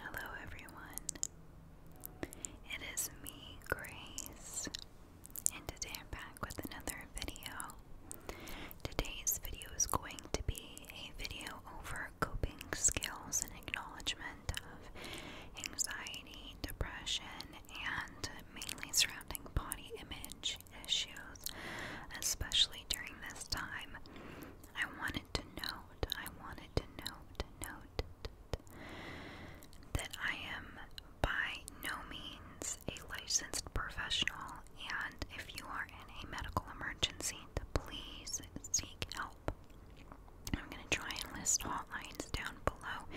Hello, everyone. It is me, Grace, and today I'm back with another video. Today's video is going to be a video over coping skills and acknowledgement of anxiety, depression, and mainly surrounding body image issues, especially during this time. I wanted to know I wanted to note, note that I am by no means a licensed professional, and if you are in a medical emergency, please seek help. I'm going to try and list hotlines down below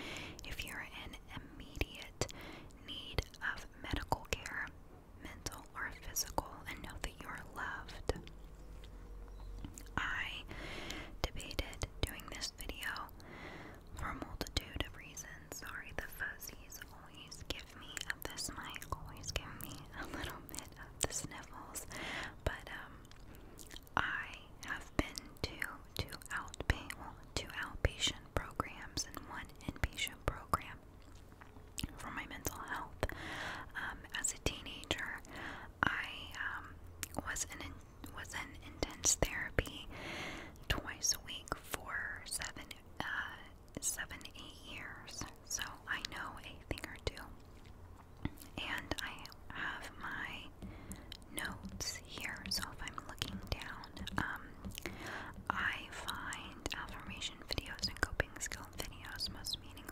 if you're in immediate need of medical care, mental or physical, and know that you are loved. I debated doing this video for a multitude of reasons. Sorry, the fuzzies always give me this mic, always give me a little bit of the sniffles, but um, I have been to two outpatient, well, two outpatient programs and one inpatient program for my mental health. Um, as a teenager, I um, was in was in intense therapy twice a week for seven uh, years, so I know a thing or two. And I have my notes here, so if I'm looking down, um, I find affirmation videos and coping skill videos most meaningful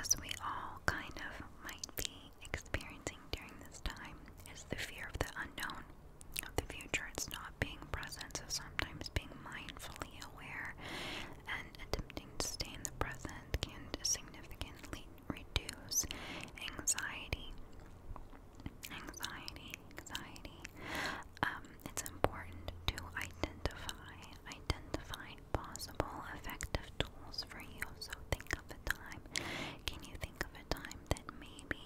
as we all kind of might be experiencing during this time, is the fear of the unknown, of the future. It's not being present, so sometimes being mindfully aware and attempting to stay in the present can significantly reduce anxiety. Anxiety, anxiety. Um, it's important to identify identified possible effective tools for you. So think of a time. Can you think of a time that maybe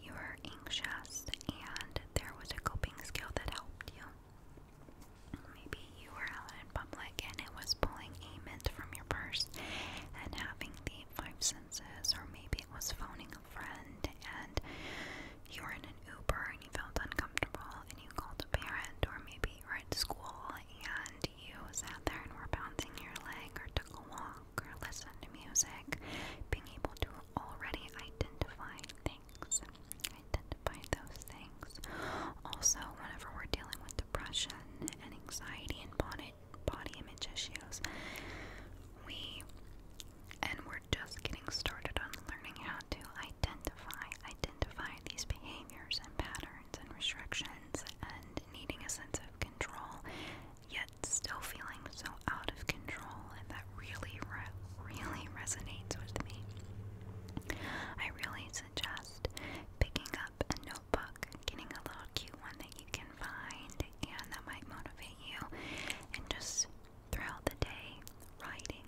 you were anxious and there was a coping skill that helped you? Maybe you were out in public and it was pulling a mint from your purse and having the five senses, or maybe it was phoning a friend and you were in an Uber and you felt uncomfortable and you called a parent, or maybe you were at school and you sat there and were bouncing your leg or took a walk or listened to music, being able to already identify things, identify those things. Also, whenever we're dealing with depression and anxiety and body, body image issues, we and we're just getting started on learning how to identify, identify these behaviors and patterns and restrictions and needing a sense of control, yet still feeling so out of control, and that really, really resonates with me. I really suggest picking up a notebook, getting a little cute one that you can find and that might motivate you, and just throughout the day, writing,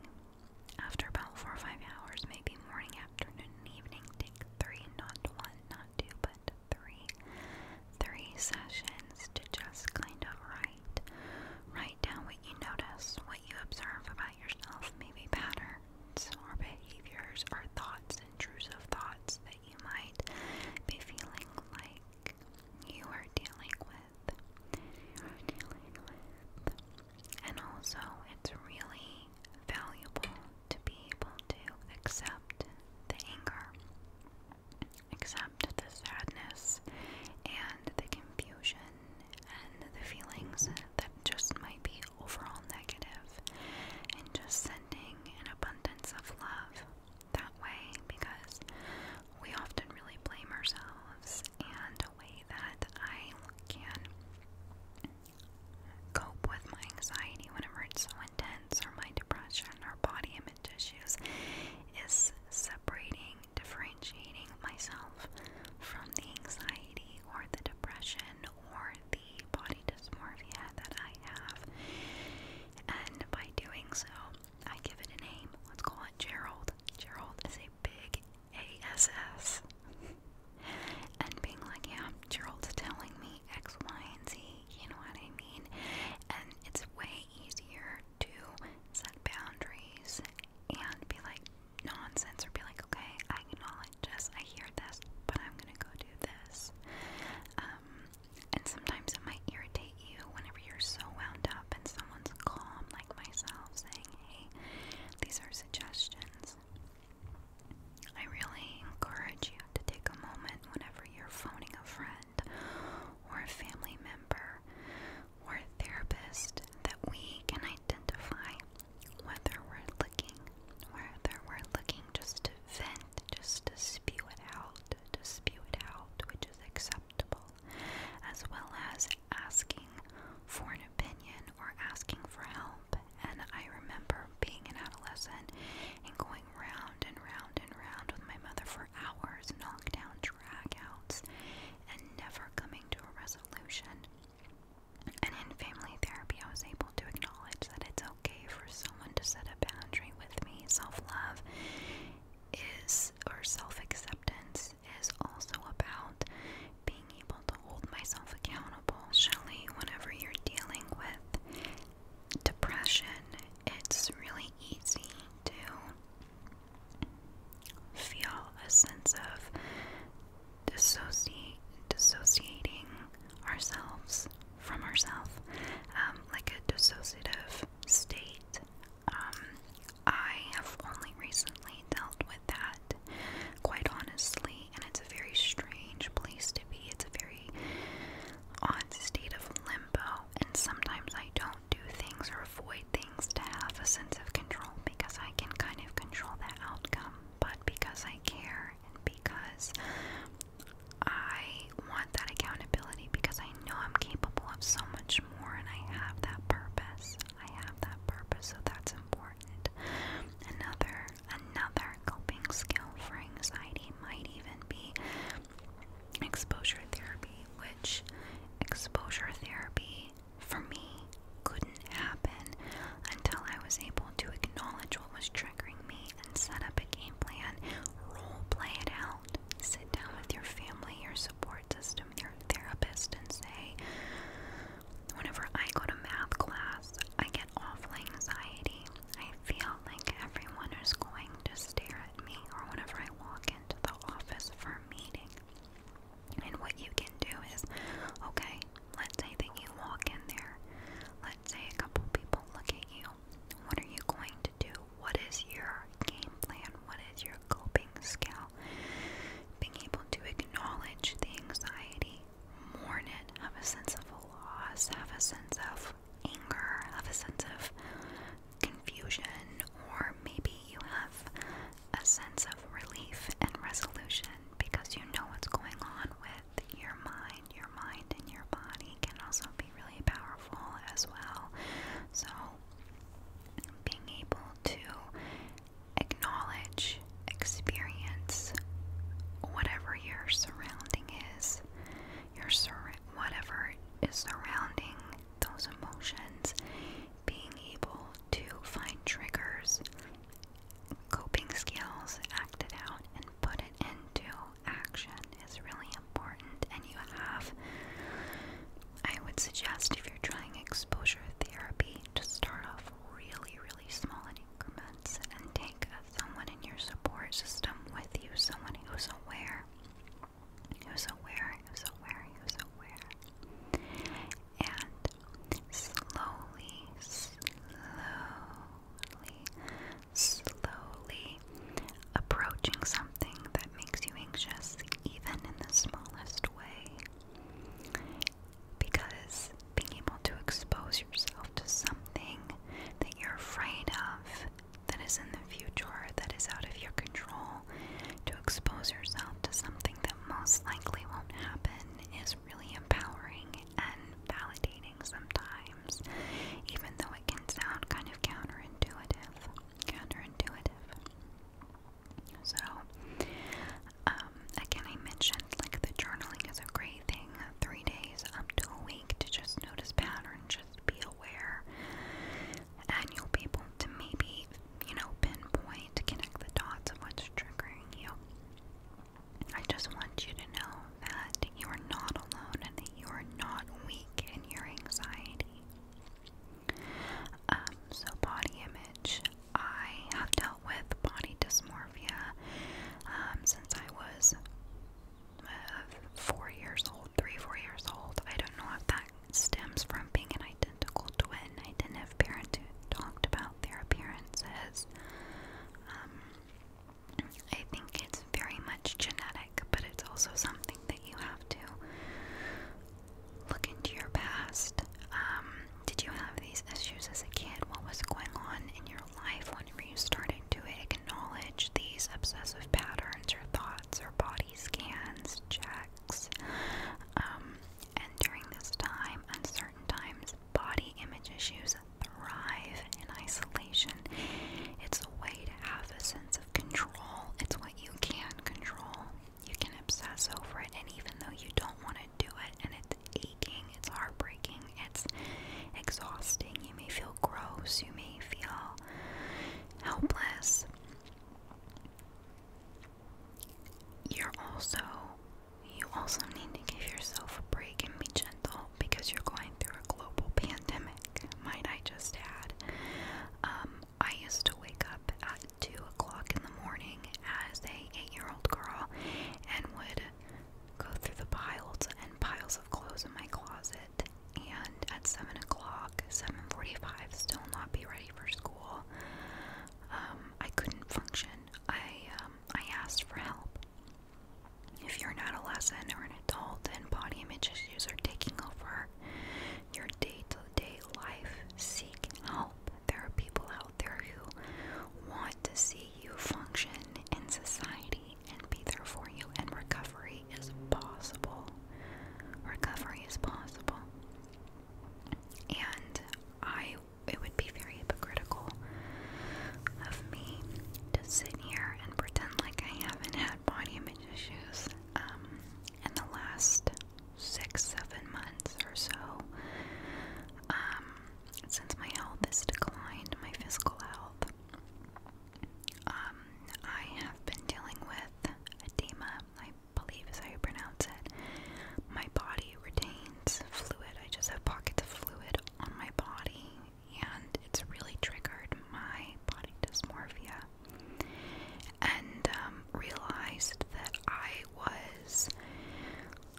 after about four or five hours, maybe morning, afternoon, and evening, take three, not one, not two, but three, three sessions to just kind of write, write down what you notice, what you observe about yourself, maybe patterns or behaviors or thoughts, intrusive thoughts that you might be feeling like You are dealing with and also it's really valuable to be able to accept the anger, accept the sadness, and the confusion, and the feelings that just might be overall negative, and just sending an abundance of love that way because we often really blame ourselves, and a way that I can cope with my anxiety whenever it's so intense or my depression or body image issues is separating, differentiating myself from the anxiety or the depression or the body dysmorphia that I have. And by doing so, I give it a name. Let's call it Gerald. Gerald is a big ASS and being like, yeah, Gerald's telling me X, Y, and Z, you know what I mean? And it's way easier to set boundaries and be like nonsense or be like, okay, I acknowledge this, I hear this, but I'm gonna go do this. Um, and sometimes it might irritate you whenever you're so wound up and someone's calm, like myself, saying, hey, these are suggestions. I really encourage you to take a moment whenever you're phoning a friend or a family member or a therapist that we can identify whether we're looking, whether we're looking just to vent, just to spew it out, to spew it out, which is acceptable, as well as asking for an opinion or asking for help and I remember being an adolescent and going round and round and round with my mother for hours, knock down, knockdown outs, and never coming to a resolution. And in family therapy, I was able to acknowledge that it's okay for someone to set a boundary with me. Self love is, or self acceptance, is also about being able to hold myself accountable. Surely, whenever you're dealing with depression, it's really easy to feel a sense of dissociating ourselves from ourselves, um, like a dissociative state. Um, I have only recently dealt with that that, quite honestly. And it's a very strange place to be. It's a very odd state of limbo. And sometimes I don't do things or avoid things to have a sense of control because I can kind of control that outcome. But because I care and because I want that accountability, because I know I'm capable of so much more and I have that purpose. I have that purpose, so that's important. Another another coping skill for anxiety might even be exposure therapy, which exposure therapy for me couldn't happen until I was able to acknowledge what was triggering me and set up a game plan, role play it out, sit down with your family, your support system, your therapist, and say, whenever I go to math class, I get awful anxiety. I feel like everyone is going to stare at me, or whenever I walk into the office for a meeting. And what you can do is okay, let's say that you walk in there, let's say a couple people look at you. What are you going to do? What is your game plan? What is your coping skill? Being able to acknowledge the anxiety mourn have a sense of loss, have a sense of anger, have a sense of confusion, or maybe you have a sense of relief and resolution because you know what's going on with your mind. Your mind and your body can also be really powerful as well. So, being able to acknowledge, experience whatever your surrounding is, your sur whatever is surrounding those emotions, being able to find triggers, coping skills, act it out, and put it into action is really important. And you have, I would suggest, if you're trying exposure therapy, to start off really, really small increments and take someone in your support system with you, someone who's aware, who's aware, who's aware, who's aware. And slowly, slowly, slowly approaching something that makes you anxious, even in the smallest way because being able to expose yourself to something that you're afraid of that is in the future, that is out of your control, to expose yourself to something that most likely won't happen is really empowering and validating sometimes, even though it can sound kind of counterintuitive. Counterintuitive. So, um, again, I mentioned like the journaling is a great thing, three days up to a week to just notice patterns, just be aware, and you'll be able to maybe, you know, pinpoint, connect the dots of what's triggering you. I just want you to know that you are not alone and that you are not weak in your anxiety. Um, so, body image, I have dealt with body dysmorphia um, since I was uh, four years old, three, four years old. I don't know if that stems from being an identical twin. I didn't have parents who talked about their appearances. Um, I think it's very much genetic, but it's also something that you have to look into your past. Um, did you have these issues as a kid? What was going on in your life? When were you starting to eh, acknowledge these obsessive patterns or thoughts or body scans, checks? Um, and during this time, uncertain times, body image issues thrive in isolation. It's a way to have a sense of control. It's what you can control. You can obsess over it, and even though you don't want to do it and it aching, it's heartbreaking, it's exhausting. You may feel gross, you may feel helpless. You're also you also need to give yourself a break and be gentle because you're going through a global pandemic, might I just add. Um, I used to wake up at 2 o'clock in the morning as a 8-year-old girl and would go through the piles and piles of clothes in my closet and at 7 o'clock, 7.45, still not be ready for school. Um, I couldn't function. I, um, I asked for help. If you're an adolescent or an adult and body image issues are taking over your day-to-day life, seek help. There are people out there who want to see you function in society and be there for you, and recovery is possible. Recovery is possible. And I it would be very hypocritical of me to sit here and pretend like I haven't had body image issues um, in the last six, seven months or so. Um, since my health has declined, my physical health, um, I have been dealing with edema. I believe is how you pronounce it. My body retains fluid. I just have pockets of fluid on my body, and it's really triggered my body dysmorphia. And um, realized that I was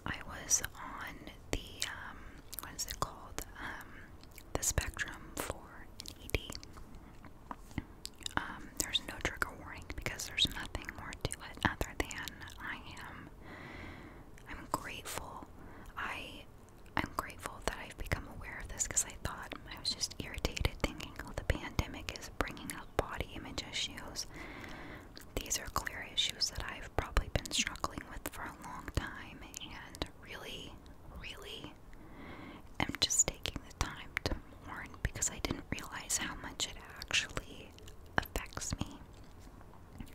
I was on the um, what is it called? Um, the spectrum for an ED. Um, there's no trigger warning because there's nothing more to it other than I am. I'm grateful. I I'm grateful that I've become aware of this because I thought I was just irritated thinking, oh, the pandemic is bringing up body image issues. These are clear issues that I've probably been struggling with for a long time and really, really am just taking the time to mourn because I didn't realize how much it actually affects me.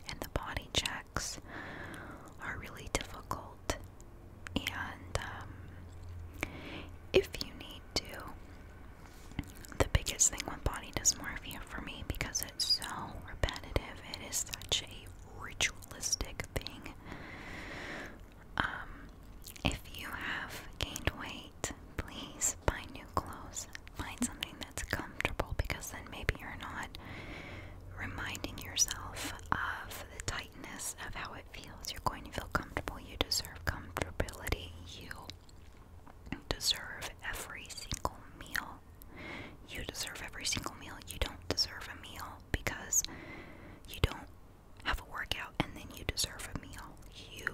And the body checks are really difficult. And um, if you need to, the biggest thing with body does more for me because it's so repetitive, it is such a ritualistic thing. Um, if you have gained weight, please buy new clothes. Find something that's comfortable because then maybe you're not reminding yourself of the tightness of how it feels. You're going to feel comfortable. You deserve comfortability. You deserve every single meal. You deserve every single meal. You don't deserve a meal because you don't have a workout and then you deserve a meal. You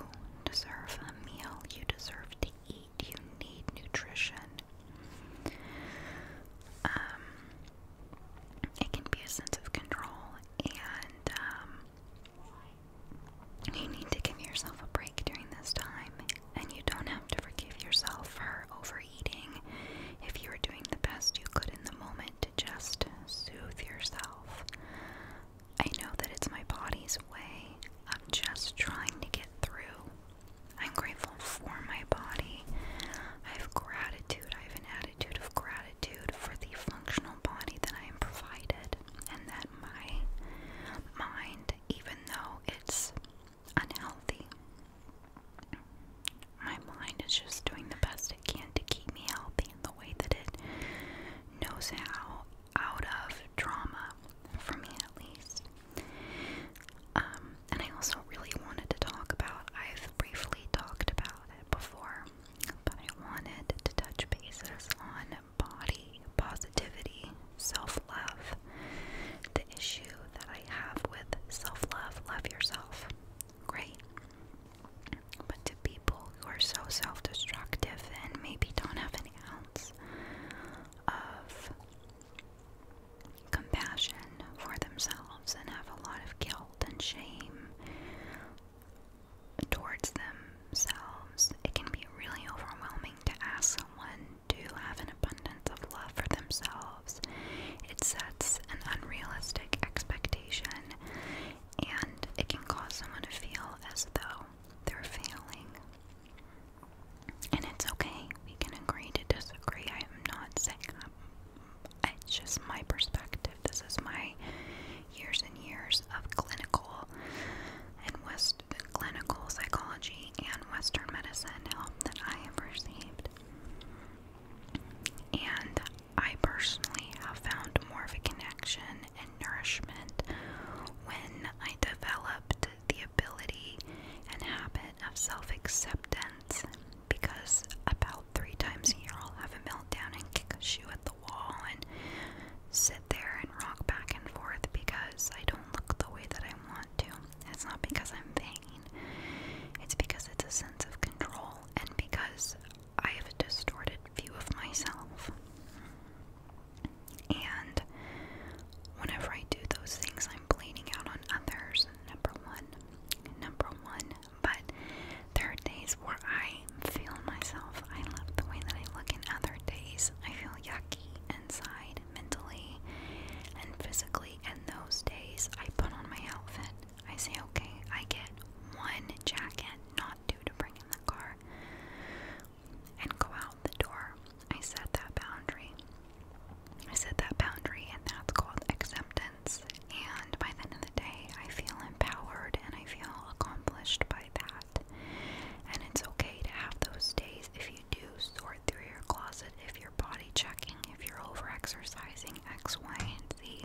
deserve a meal. You deserve to eat. You need nutrition. Um, it can be a sense of control and um, you need to give yourself a break during this time, and you don't have to forgive yourself for overeating if you were doing the best you could in the moment to just soothe yourself. I know that it's my body's way of just trying to get through. I'm grateful for my body. I have gratitude. I have an attitude of gratitude for the functional body that I am provided and that my mind, even though it's unhealthy, my mind is just doing the best it can to keep me healthy in the way that it knows how out of trauma, for me at least. Um, and I also really wanted to talk about, I've briefly talked about it before, but I wanted to touch bases on embody positivity, self love. The issue that I have with self love, love yourself. Great. But to people who are so self destructive and maybe don't have an ounce of compassion for themselves and have a lot of guilt and shame, towards themselves, it can be really overwhelming to ask someone to have an abundance of love for themselves. It sets an unrealistic expectation and it can cause someone to feel as though they're failing. And it's okay, we can agree to disagree. I am not saying that. It's just my perspective. This is my years and years of clinical and West clinical psychology and Western medicine help that I have received. And I personally have found more of a connection and nourishment when I developed the ability and habit of self acceptance because about three times a year I'll have a meltdown and kick a shoe at the and sit there and rock back and forth because I don't look the way that I want to. It's not because I'm vain, it's because it's a sense of control and because I have a distorted view of myself. And whenever I do those things, I'm blaming out on others. Number one, number one. But there are days where I feel myself. I love the way that I look in other days. I feel yucky inside, mentally, and physically. And those days, I put on my outfit. I say, okay, I get one jacket, not two to bring in the car, and go out the door. I set that boundary. I set that boundary, and that's called acceptance. And by the end of the day, I feel empowered and I feel accomplished by that. And it's okay to have those days if you do sort through your closet, if you're body checking, if you're over exercising, X, Y, and Z,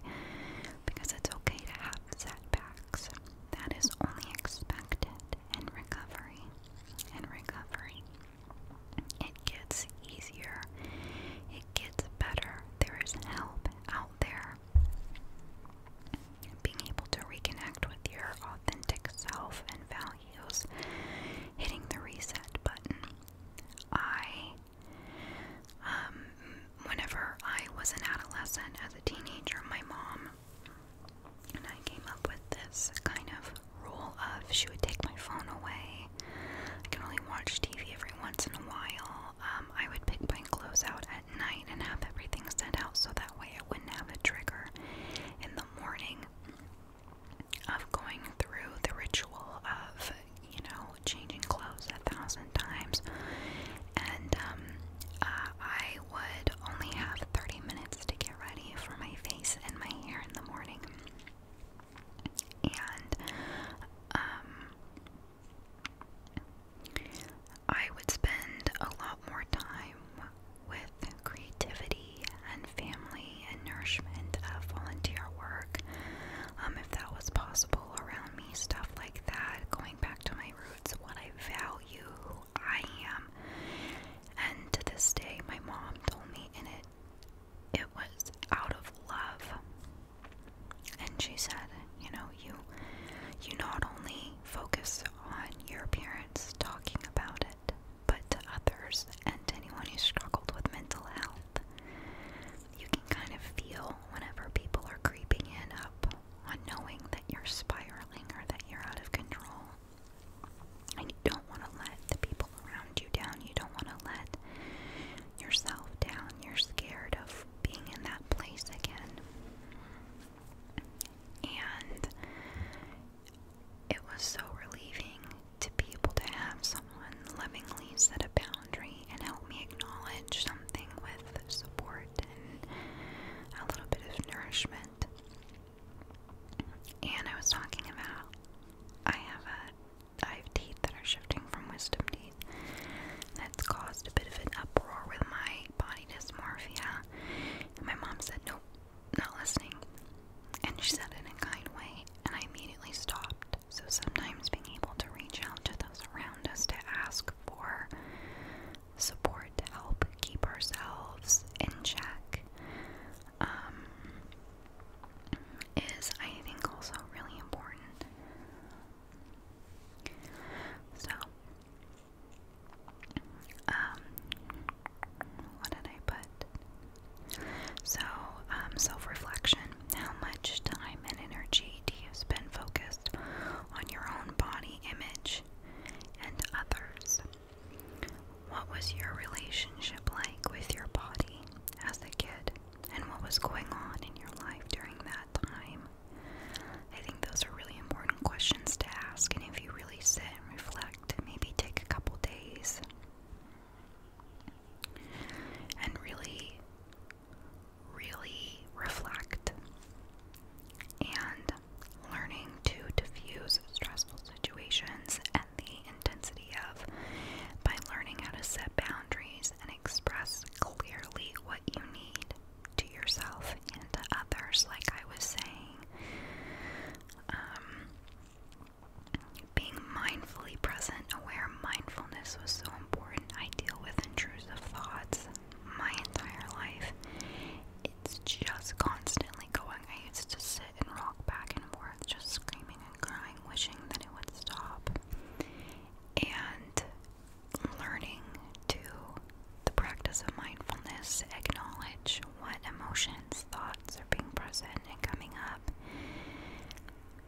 because it's okay to have setbacks. That is only expected in recovery. In recovery, it gets easier, it gets better. There is help out there. Being able to reconnect with your authentic self and values, hitting the reset button. I, um, whenever I was an adolescent, as a teenager, my mom and I came up with this kind of rule of she would take my phone away. I can only watch TV every once in a while. Um, I would pick my clothes out at night and have everything set out so that way I wouldn't have a trigger in the morning of going through the ritual of, you know, changing clothes a thousand times. And um, uh, I would only have 30 minutes to get ready for my face and my hair in the morning. And, um, I would spend a lot more time with creativity and family and nourishment of volunteer work, um, if that was possible around me, stuff like that, going back to my roots, what I value, I am. And to this day, my mom told me in it, it was out of love. And she said, you know, you you not only focus on your parents talking about it, but to others and to anyone who struggled with mental health, you can kind of feel whenever people are creeping in up on knowing that you're spiraling or that you're out of control. And you don't want to let the people around you down. You don't want to let yourself down. You're scared of being in that place again and it was so relieving to be able to have someone lovingly set a boundary and help me acknowledge something with support and a little bit of nourishment. And I was talking about I have a I have teeth that are shifting from wisdom teeth. That's caused a bit of an uproar with my body dysmorphia and my mom said, Nope, not listening. And she said it in a kind way, and I immediately stopped. So sometimes being able to reach out to those around us to ask for support help keep ourselves in check um, is, I think, also really important. So, um, what did I put? So, um, self reflection. How much time and energy do you spend focused on your own body image and others? What was your relationship like with your body as a kid? And what was going on in your life during that time? I think those are really important questions to ask, and if you really sit and reflect, maybe take a couple days and really, really reflect and learning to diffuse stressful situations and the intensity of by learning how to set boundaries and express clearly what you need to yourself and to others, like I was saying. Um, being mindfully present, aware mindfulness was so important. I deal with intrusive thoughts my entire life. It's just constantly going. I used to sit and rock back and forth, just screaming and crying, wishing that it would stop. And learning to the practice of mindfulness, acknowledge what emotions, thoughts are being present and coming up,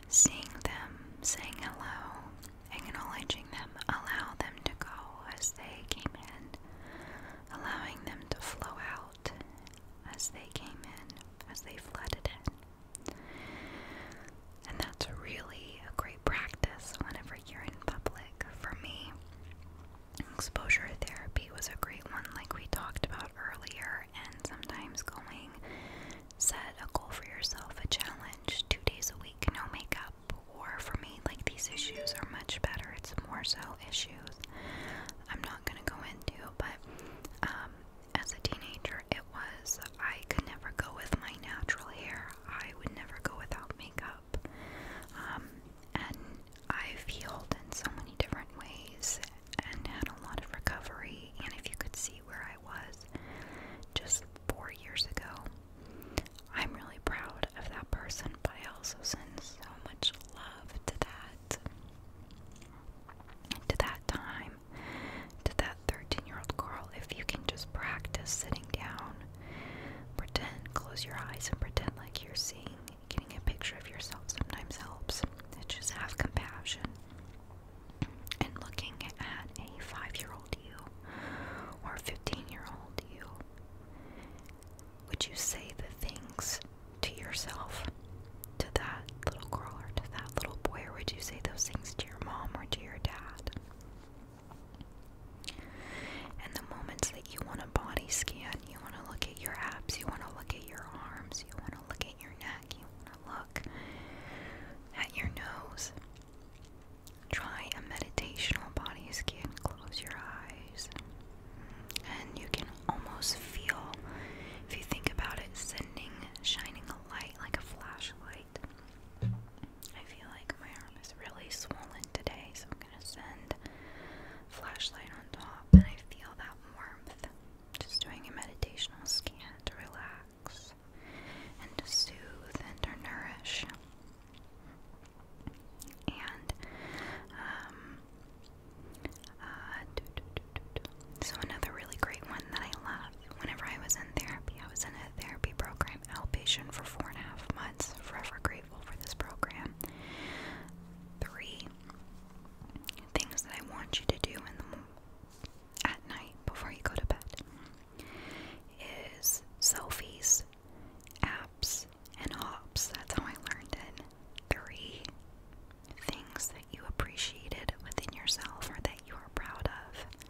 seeing them, saying hello, acknowledging them, allow them to go as they came in, allowing them to flow out as they came in, as they flooded in. And that's really a great necessary practice whenever you're in public. For me, exposure therapy was a great one, like we talked about earlier, and sometimes going set a goal for yourself, a challenge, two days a week, no makeup. Or for me, like these issues are much better. It's more so issues I'm not gonna go into, but um, as a teenager, it was I could never go with my natural hair. I would never go without makeup. Um, and I've healed in so many different ways and had a lot of recovery. And if you could see where I was just four years ago, I'm really proud of that person, but I also send so much love to that. To that time, to that 13 year old girl, if you can just practice sitting down Pretend, close your eyes and pretend like you're seeing. Getting a picture of yourself sometimes helps. It's just have compassion. And looking at a five year old you or a 15 year old you, would you say the things to yourself, to that little girl or to that little boy, or would you say those things to your mom or to your dad? And the moments that you want a body scan, you want to look at your abs, you want to look at your arms, you want to look at your neck, you want to look at your nose. Try a meditational body scan. Close your eyes. And you can almost feel, if you think about it, sending, shining a light like a flashlight I feel like my arm is really swollen today, so I'm gonna send flashlight on top, and I feel that warmth. Just doing a meditational scan to relax and to soothe and to nourish. And um, uh, so another really great one that I love. Whenever I was in therapy, I was in a therapy program outpatient for four and a half months, forever great for this program. Three things that I want you to do in the at night before you go to bed is selfies, apps, and hops. That's how I learned it. Three things that you appreciated within yourself or that you are proud of.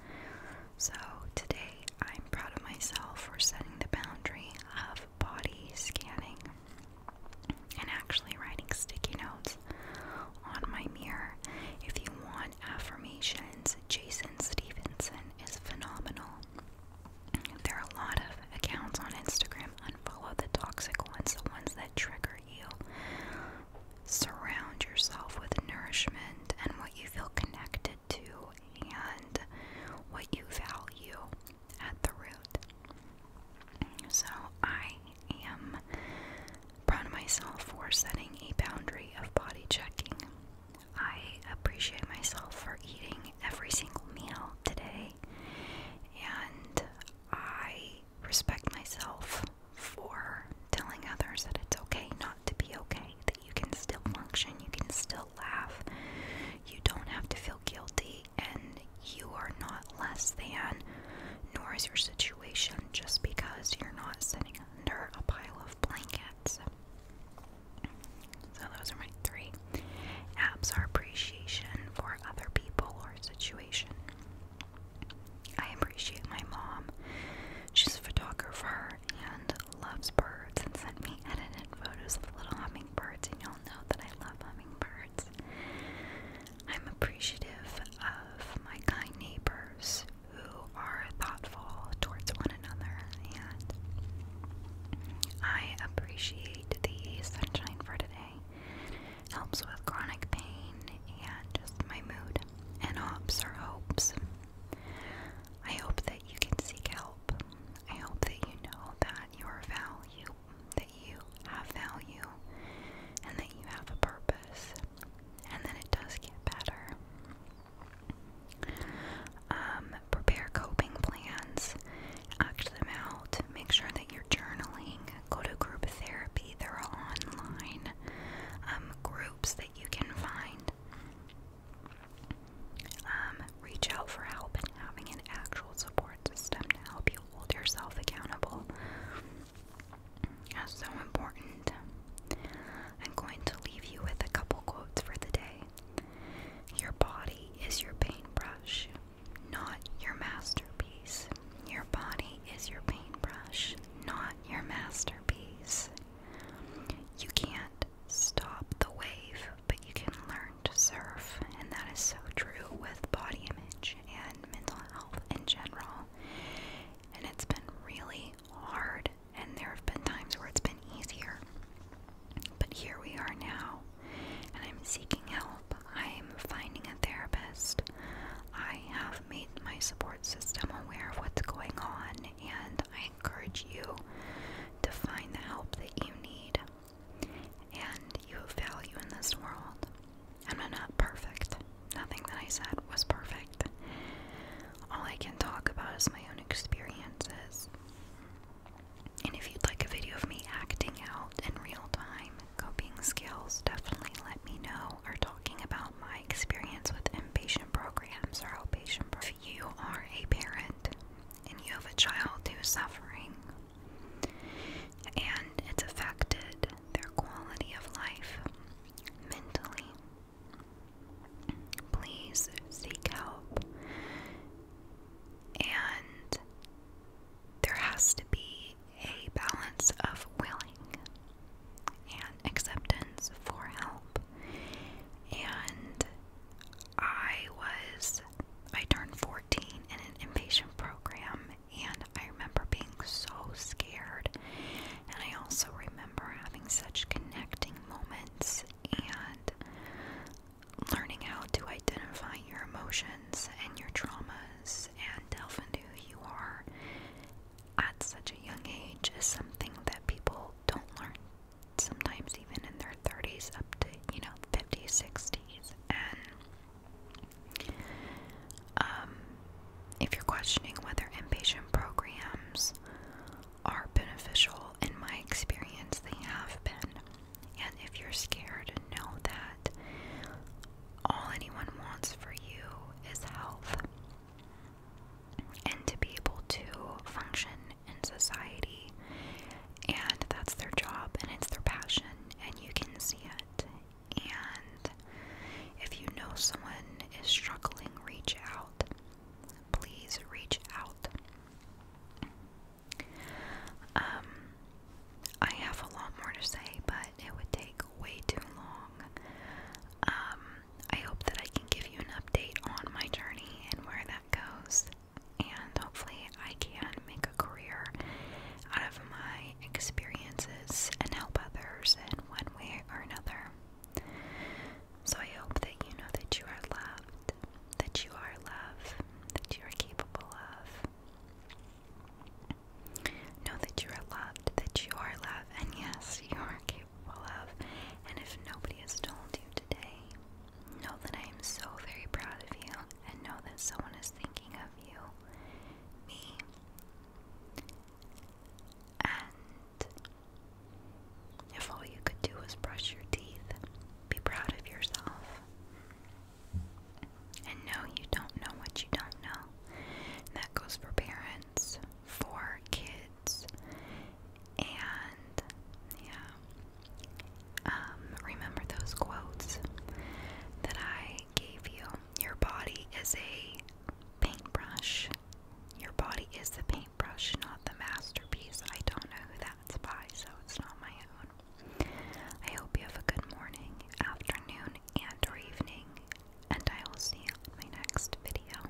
So today I'm proud of myself for setting the boundary of body scanning and actually writing sticky notes on my mirror. If you want affirmations, Jason Stevenson is phenomenal. There are a lot of accounts on Instagram. Unfollow the toxic ones, the ones that trigger you. Surround yourself with nourishment and what you feel connected to and what you value at the root. So I am proud of myself for setting a boundary of body checking. I appreciate myself for eating every single meal today, and I respect myself for telling others that it's okay not to be okay, you can still function, you can still laugh, you don't have to feel guilty, and you are not less than, nor is your situation just because you're not sitting under a pile of blankets. So, those are my three apps are appreciation for other people or situation. I appreciate my mom. She's a photographer and loves birds and sent me edited photos of little hummingbirds, and y'all know that I love hummingbirds. I'm appreciative of my kind neighbors who are thoughtful towards one another, and I appreciate the sunshine for today. helps with chronic pain and just my mood, and hopes are hopes. I hope that you can seek help I hope that you know that your value, that you have value, and that you have a purpose, and that it does get better. Um, prepare coping plans, act them out, make sure that you're journaling, go to group therapy. There are online um, groups that you can find. Um, reach out for help and having an actual support system to help you hold yourself accountable That's so important. I'm going to leave you with a couple quotes for the day. Your body is your paintbrush, not your masterpiece. Your body is your paintbrush, not your masterpiece. You can't stop the wave, but you can learn to surf. And that is so true with body image and mental health in general. And it's been really hard, and there have been times where it's been easier. But here we are now, and I'm seeking help. I'm finding a therapist. I have made my support system aware of what's going on and I encourage you to find the help that you need and you have value in this world. I'm not perfect. Nothing that I said was perfect. All I can talk about is my own experiences. And if you'd like a video of me acting out in real time, coping skills, definitely let me know. Or talking about my experience with inpatient programs or outpatient programs you are a parent and you have a child who's suffering and it's affected their quality of life mentally, please seek help. And there has to be a balance of willing and acceptance for help and I was, I turned 14 in an inpatient program, and I remember being so scared. And I also remember having such connecting moments and learning how to identify your emotions and your traumas and delve into who you are at such a young age is something that people don't learn sometimes even in their 30s up to, you know, 50s, 60s. And um, if you're questioning whether inpatient programs are beneficial, in my experience, they have been. And if you're scared, know that all anyone wants for you is health and to be able to function in society. And that's their job and it's their passion, and you can see it. And if you know someone is struggling, reach out. Please reach out. Um, I have a lot more to say, but it would take way too long. Um, I hope that I can give you an update on my journey and where that goes. And hopefully, I can make a career out of my experiences and help others in one way or another. So, I hope that you know that you are loved, that you are loved, that you are capable of. Know that you are loved, that you are loved, and yes, you are capable capable of, and if nobody has told you today, know that I am so very proud of you and know that someone is thinking of you, me, and if all you could do was brush your teeth, be proud of yourself. And know you don't know what you don't know. that goes for parents, for kids, and yeah, um, remember those quotes that I gave you. Your body is a paintbrush. Your body is the paintbrush, not the masterpiece. I don't know who that's by, so it's not my own. I hope you have a good morning, afternoon, and or evening, and I will see you in my next video.